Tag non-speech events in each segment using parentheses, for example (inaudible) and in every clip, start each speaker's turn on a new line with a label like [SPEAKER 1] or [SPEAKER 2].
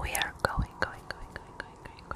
[SPEAKER 1] We are going, going, going, going, going, going,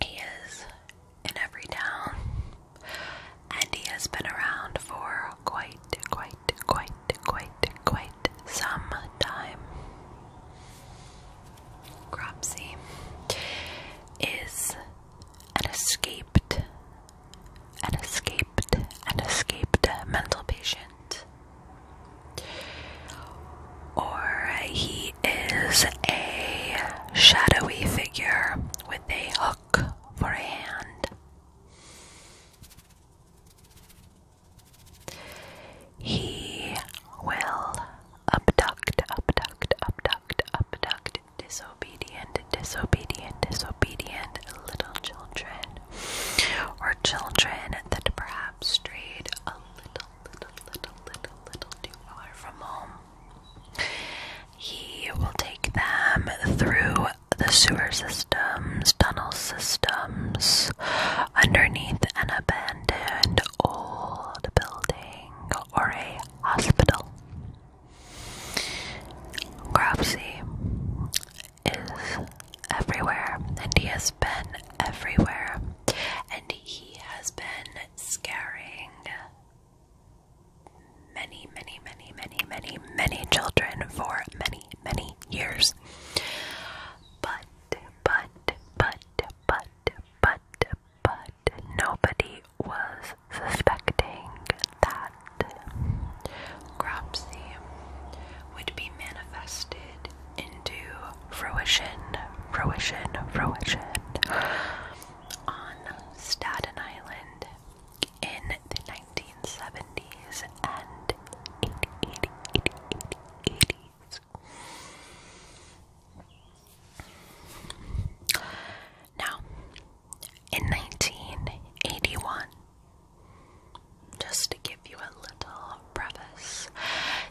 [SPEAKER 1] He is in every town, and he has been around for quite, quite, quite, quite, quite some time. Cropsy is an escaped, an escaped, an escaped mental patient. Or he is a shadowy with a hook for a hand. He will abduct, abduct, abduct, abduct disobedient, disobedient, disobedient little children or children that perhaps strayed a little, little, little, little, little too far from home. He will take them through the sewer systems, tunnel systems, underneath an abandoned old building or a hospital. Gropsy is everywhere, and he has been everywhere, and he has been scaring many, many, many, many, many, many children for many, many years. But, but, but, but, but, but, nobody was suspecting that Cropsy would be manifested into fruition, fruition, fruition on Staten Island in the 1970s and 80s. Now, in 1981, just to give you a little preface,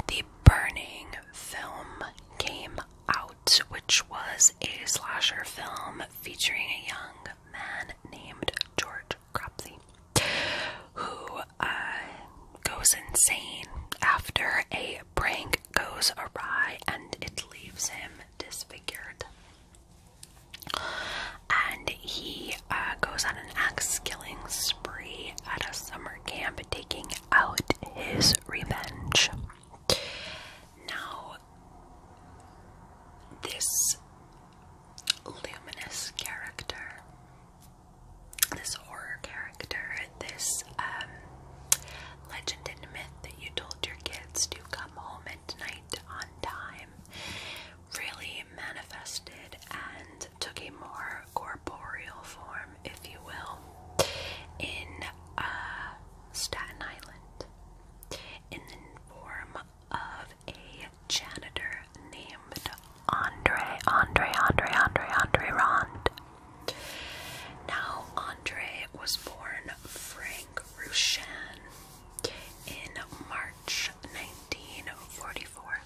[SPEAKER 1] the Burning film came out which was a slasher film featuring a young man named George Cropsey, who uh, goes insane after a prank goes awry and it leaves him disfigured. And he uh, goes on an axe killing spree at a summer camp, taking out his revenge. Now, this luminous character, this horror character, this um, legend and myth that you told your kids to come home at night on time really manifested and took a more corporeal form, if you will, in uh, Staten Island in the form of a janitor named Andre, Andre, Andre, Andre, Andre Rond. Now, Andre was born Frank Rushan in March 1944.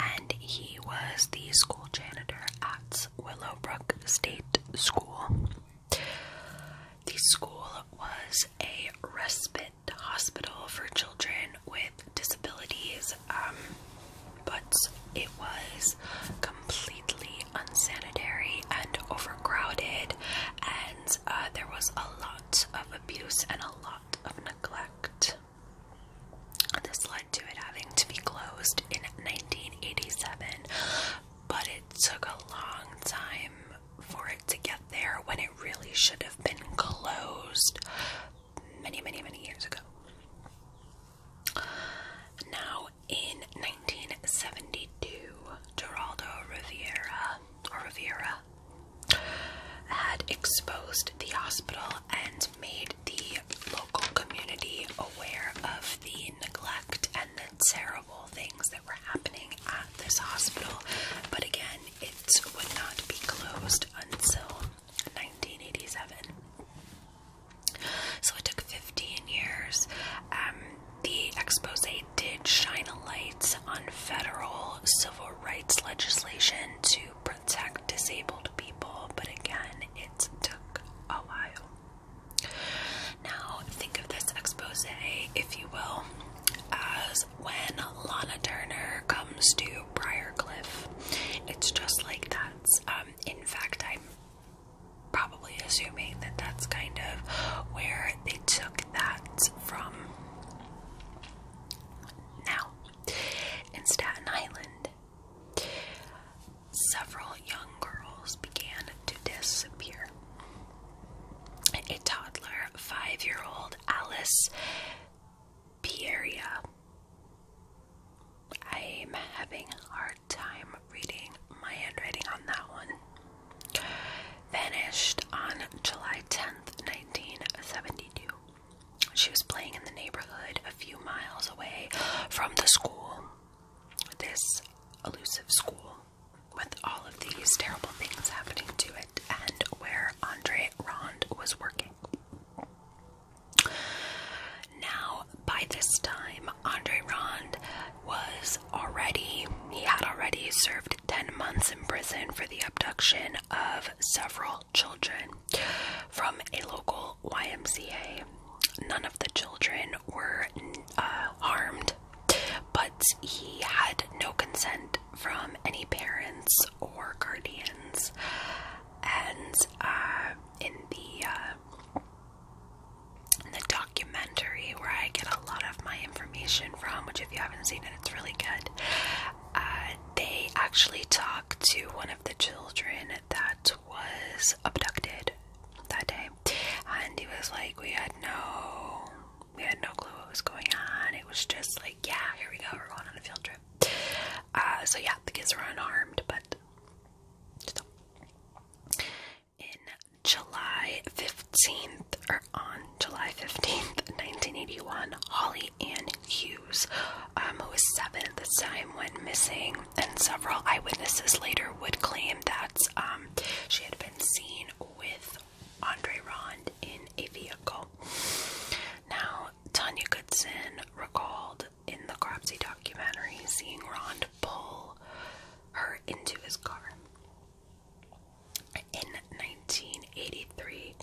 [SPEAKER 1] And he was the school janitor at Willowbrook State School. The school was a respite hospital for children with disabilities, um, but it was completely unsanitary and overcrowded, and uh, there was a lot of abuse and a lot of neglect. This led to it having to be closed in 1987, but it took a long time for it to get there when it really should have been closed many, many, many years ago. Now, in 1972, Geraldo Rivera, or Rivera, had exposed the hospital and made the local community aware of the neglect and the terrible things that were happening at this hospital. But again, it would not be closed until 1987. So it took 15 years. Um, the expose did shine a light on federal civil rights legislation to protect disabled people, but again, it took a while. Now, think of this expose, if you will, as when Lana Turner comes to Briarcliff. It's just like that. Um, in fact, I'm probably assuming that that's kind of where they took that from. Now, in Staten Island, Several young girls began to disappear. A toddler, five year old Alice Pieria. I'm having a hard time reading my handwriting on that one. Vanished on July 10th, 1972. She was playing in the neighborhood a few miles away from the school this elusive school with all of these terrible things happening to it and where Andre Rond was working. Now, by this time, Andre Rond was already, he had already served 10 months in prison for the abduction of several children from a local YMCA. None of the children were uh, harmed, but he had no consent from any parents or guardians. And uh, in the uh, the documentary where I get a lot of my information from, which if you haven't seen it, it's really good. Uh, they actually talk to one of the children at that was abducted that day, and he was like, "We had no, we had no clue what was going on. It was just like, yeah, here we go, we're going on a field trip." Uh, so yeah, the kids were unharmed, but still. In July 15th, or on July 15th, 1981, Holly Ann Hughes, um, who was seven at the time, went missing and several eyewitnesses later would claim that um, she had been seen with Andre Rond in a vehicle. Now, Tanya Goodson recalled in the Cropsey documentary seeing Rond pull her into his car. In 1983,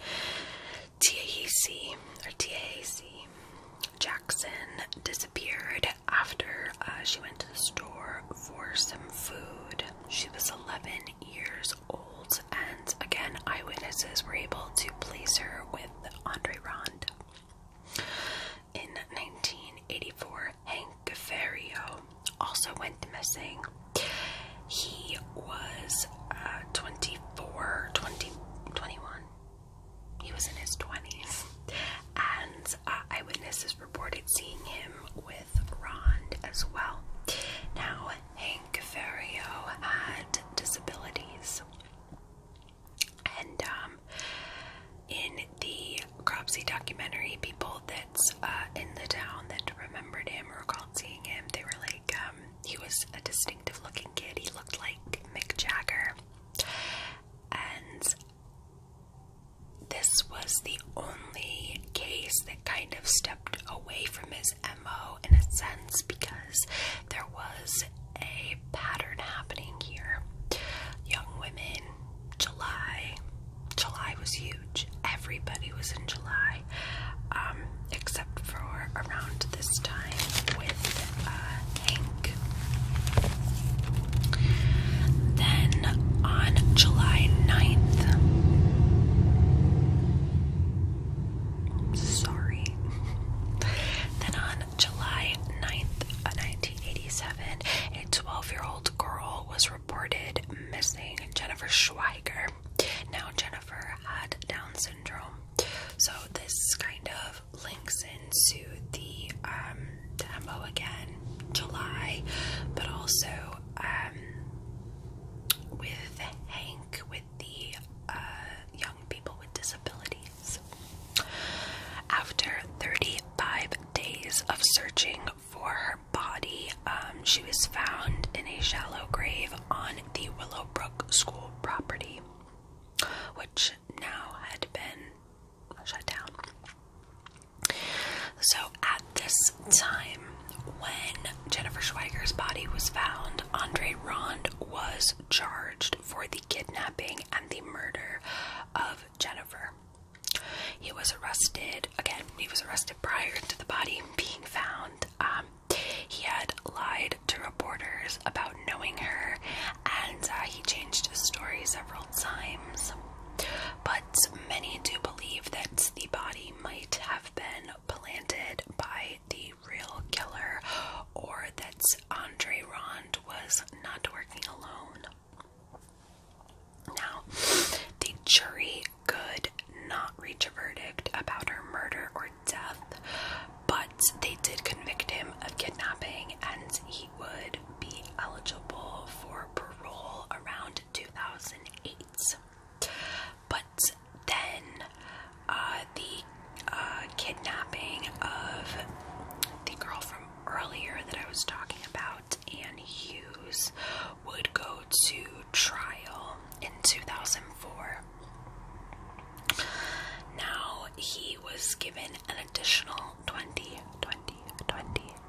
[SPEAKER 1] T A E C or TAC Jackson disappeared after uh, she went to the store for some food. She was 11 years old, and again, eyewitnesses were able to place her with Andre Rond. In 1984, Hank Ferrio also went missing. He was uh, 24, 20, 21, he was in his 20s, and uh, eyewitnesses reported seeing him with Ron as well. Now, Hank Ferrio had disabilities, and um, in the Cropsey documentary, people that's uh, in the town that remembered him or recalled seeing him, they were like, um, he was a distinctive looking kid. He looked like Mick Jagger. And this was the only case that kind of stepped away from his MO in a sense because there was a pattern happening here. Young women, July. July was huge. Everybody was in July, um, except for around this time with uh, Hank. Then on July 9th, sorry, (laughs) then on July 9th, 1987, a 12 year old girl was reported missing, Jennifer Schweiger. Now, Jennifer had Down syndrome, so this kind of links into the um, demo again, July, but also um with Hank with the uh, young people with disabilities. After 35 days of searching for her body, um, she was found in a shallow grave on the Willowbrook School property, which now had been shut down. So at this time, when Jennifer Schweiger's body was found, Andre Rond was charged for the kidnapping and the murder of Jennifer. He was arrested again. He was arrested prior to the body being found. Um, he had lied to reporters about knowing her, and uh, he changed his story several Alzheimer's, but many do believe that the body might have been planted by the real killer or that Andre Rond was not working alone. Now, the jury could not reach a verdict about her murder or death, but they did convict him of kidnapping and he would be eligible for parole around 2008. But then uh, the uh, kidnapping of the girl from earlier that I was talking about, Anne Hughes, would go to trial in 2004. Now he was given an additional 20,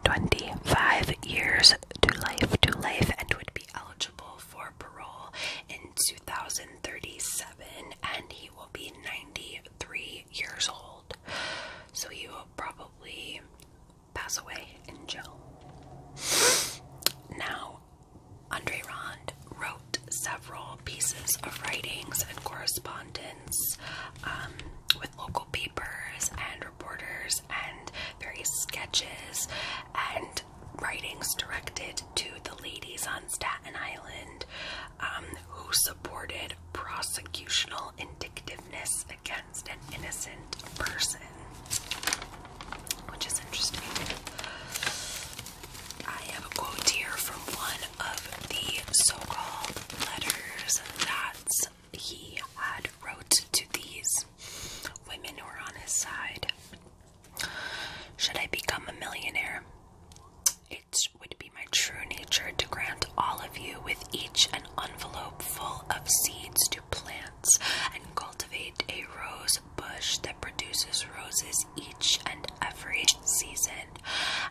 [SPEAKER 1] 25 years to life, to life, and would be eligible for parole in 2037. And he will be 93 years old. So he will probably pass away in jail. Now, Andre Rond wrote several pieces of writings and correspondence um, with local papers and reporters and various sketches and writings directed to the ladies on Staten Island um, who supported prosecutorial indictiveness against an innocent person, which is interesting. I have a quote here from one of the so-called letters that he had wrote to these women who were on his side. Should I become a millionaire? It would be my true nature to grant all of you with each an envelope full of seeds to plants and cultivate a rose bush that produces roses each and every season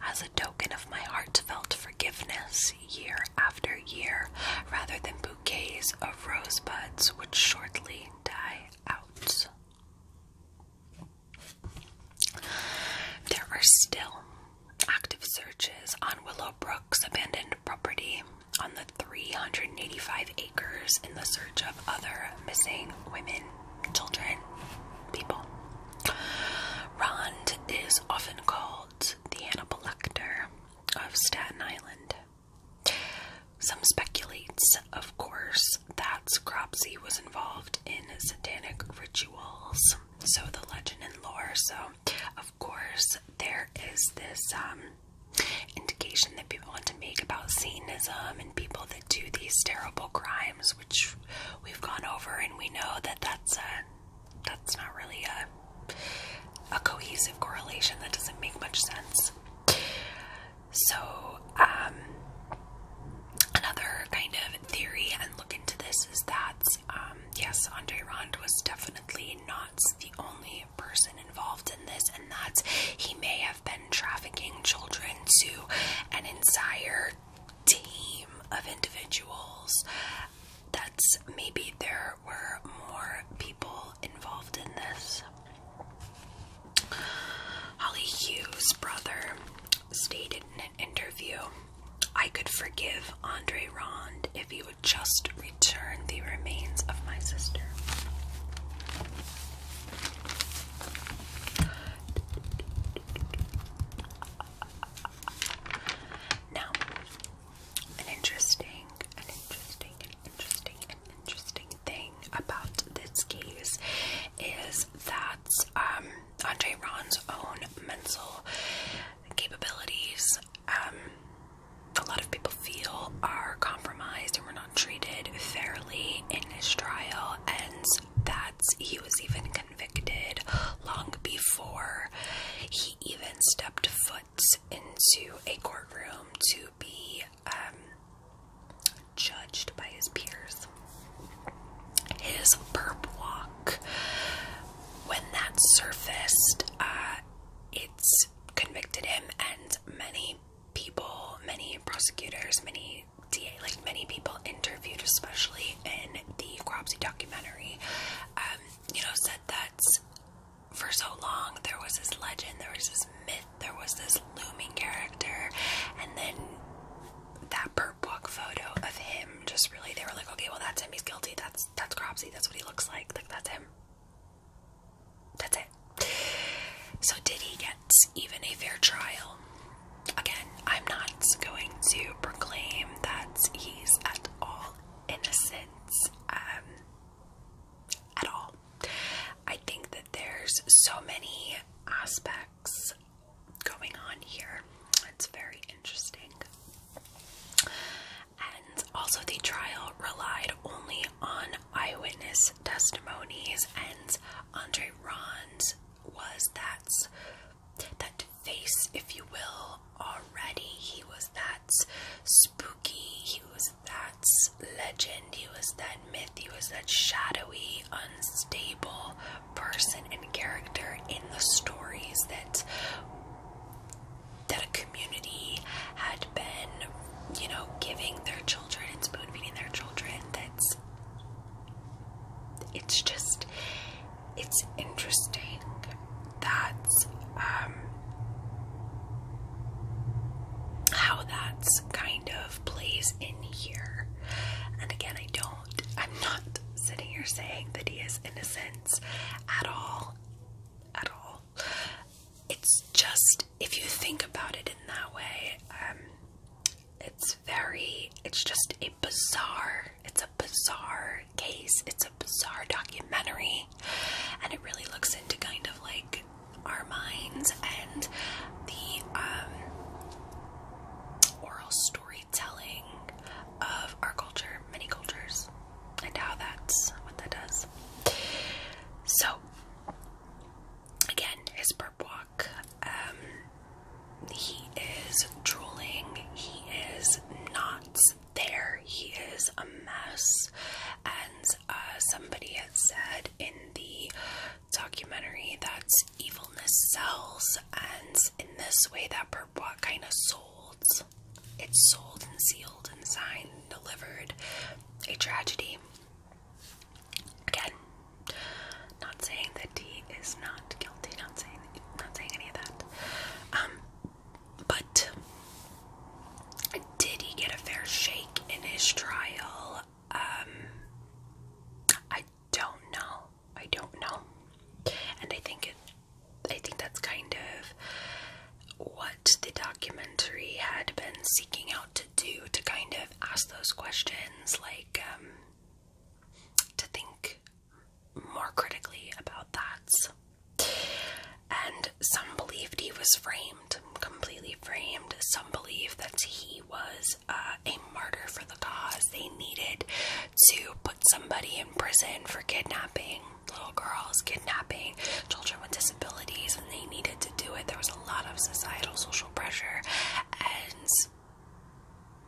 [SPEAKER 1] as a token of my heartfelt forgiveness year after year, rather than bouquets of rosebuds which shortly die out. There are still active searches on Willow Brook's abandoned property on the 385 acres in the search of other missing women, children, people. Rond is often called the Hannibal Lecter of Staten Island. Some speculates, of course, that Scropsy was involved in satanic rituals. So the legend and lore. So, of course, there is this um, indication that people want to make about Satanism and people that do these terrible crimes, which we've gone over, and we know that that's a that's not really a, a cohesive correlation that doesn't make much sense. So, um, another kind of theory and look into this is that, um, yes, Andre Rond was definitely not the only person involved in this, and that he may have been trafficking children to an entire team of individuals. That's maybe there were more people involved in this. Holly Hughes' brother stated in an interview I could forgive Andre Rond if he would just return the remains of my sister. Now, an interesting, an interesting, an interesting, an interesting thing about this case is that um, Andre Ron's own mental capabilities, um, a lot of people feel, are compromised and were not treated fairly in this trial, and that he was even convicted long before he even stepped foot into a courtroom to be um, judged by his peers. His burp walk, when that surfaced, uh, it's convicted him and many people, many prosecutors, many DA, like many people interviewed, especially in the Cropsy documentary, um, you know, said that for so long there was this legend, there was this myth, there was this looming character, and then that Burt Book photo of him just really they were like, okay, well that's him, he's guilty, that's that's Cropsy, that's what he looks like, like that's him. That's it. So did he get even a fair trial? again, I'm not going to proclaim that he's at all innocent um, at all. I think that there's so many aspects going on here. It's very interesting. And also, the trial relied only on eyewitness testimonies, and Andre Ron's was that that face, if you will, already. He was that spooky, he was that legend, he was that myth, he was that shadowy, unstable person and character in the stories that that a community had been, you know, giving their children and spoon feeding their children. That's it's just it's interesting that um, how that's kind of plays in here. And again, I don't, I'm not sitting here saying that he is innocent at all. At all. It's just, if you think about it in that way, um, it's very, it's just a bizarre it's a bizarre case. It's a bizarre documentary. And it really looks into kind of like our minds and the um, oral storytelling of our culture, many cultures, and how that's what that does. So, again, his burp walk. Um, he is drooling. He is not there. He is a mess. And uh, somebody had said in the documentary that evilness sells, and in this way, that Birdwalk kind of sold. It's sold and sealed and signed and delivered. A tragedy. Again, not saying that he is not guilty. Not saying, not saying any of that. Um, but did he get a fair shake in his trial? Um, I don't know. I don't know. And I think it, I think that's kind of what the documentary had been seeking out to do to kind of ask those questions, like um, to think more critically about that. And some believed he was framed, completely framed. Some believe that he was uh, a martyr for the cause. They needed to put somebody in prison for kidnapping little girls, kidnapping children with disabilities, and they needed to do it. There was a lot of societal, social pressure, and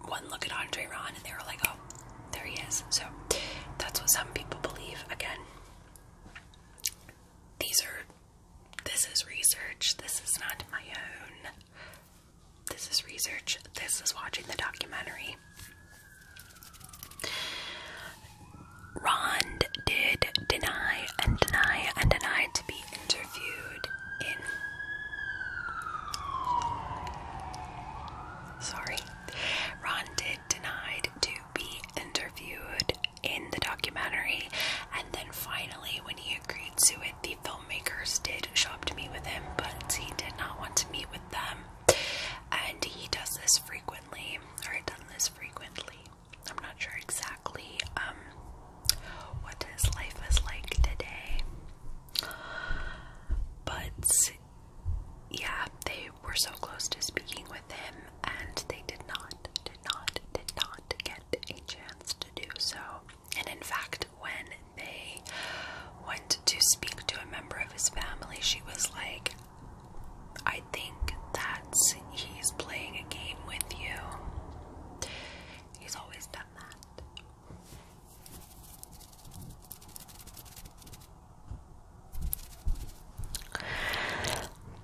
[SPEAKER 1] one look at Andre Ron and they were like, oh, there he is. So that's what some people believe. Again, these are, this is research. This is not my own. This is research. This is watching the documentary. Ron did deny and deny and deny to be interviewed in sorry. Ron did denied to be interviewed in the documentary, and then finally, when he agreed to it, the filmmakers did shop to meet with him, but he did not want to meet with them. And he does this frequently, or had done this frequently. I'm not sure exactly um, what his life is like today, but yeah, they were so close to speaking with him, and they did not, did not, did not get a chance to do so. And in fact, when they went to speak to a member of his family, she was like, I think that's he's playing a game with you. He's always done that.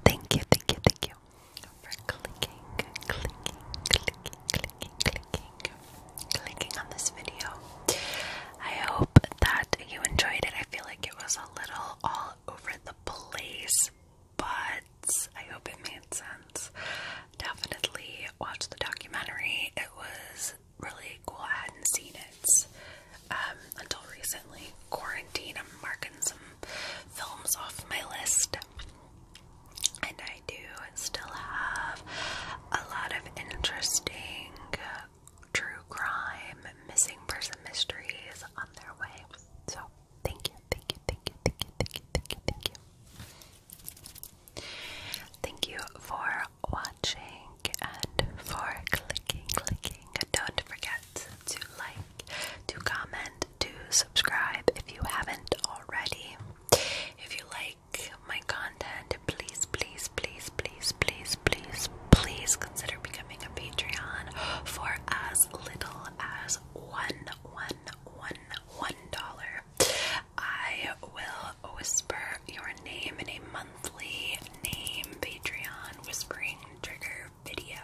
[SPEAKER 1] Thank you, thank you, thank you for clicking, clicking, clicking, clicking, clicking, clicking on this video. I hope that you enjoyed it. I feel like it was a little all over the place, but I hope it made sense. Definitely watched the documentary, it was really cool. I hadn't seen it um, until recently. Quarantine, I'm marking some films off my list. And I do still have a lot of interesting true crime, missing person mysteries on their way. So, thank you, thank you, thank you, thank you, thank you, thank you, thank you. Thank you for watching and for clicking, clicking. Don't forget to like, to comment, to subscribe if you haven't already. If you like my content, please, please, please, please, please, please, please consider becoming a Patreon for as little as one, one, one, one dollar. I will whisper your name in a monthly name Patreon whispering trigger video.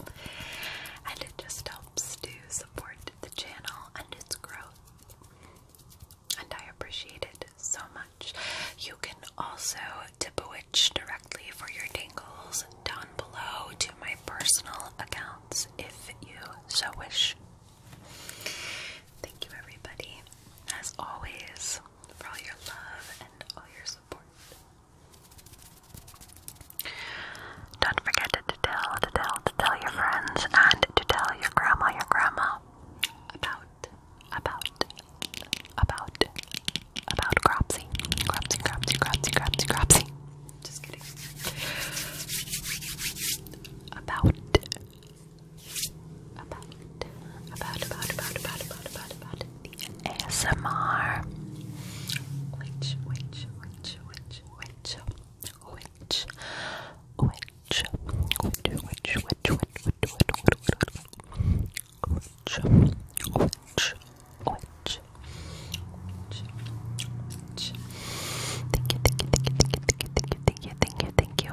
[SPEAKER 1] And it just helps to support the channel and its growth. And I appreciate it so much. You can also tip a witch directly for your dingles down below to my personal accounts if you so wish. Thank you, everybody as always, for all your love and all your support. Don't forget to tell, to tell, to tell your friends and to tell your grandma, your grandma about, about, about, about Cropsy. Cropsy, Cropsy, Cropsy, Cropsy, Cropsy. Just kidding. About, about, about, about, about, about, about, about, about the ASMR. Which, which, which, which, which, which, which, which, which, which, which, which, which, which, which, Thank you, thank you, thank you, thank you, thank you, thank you, thank you, thank you.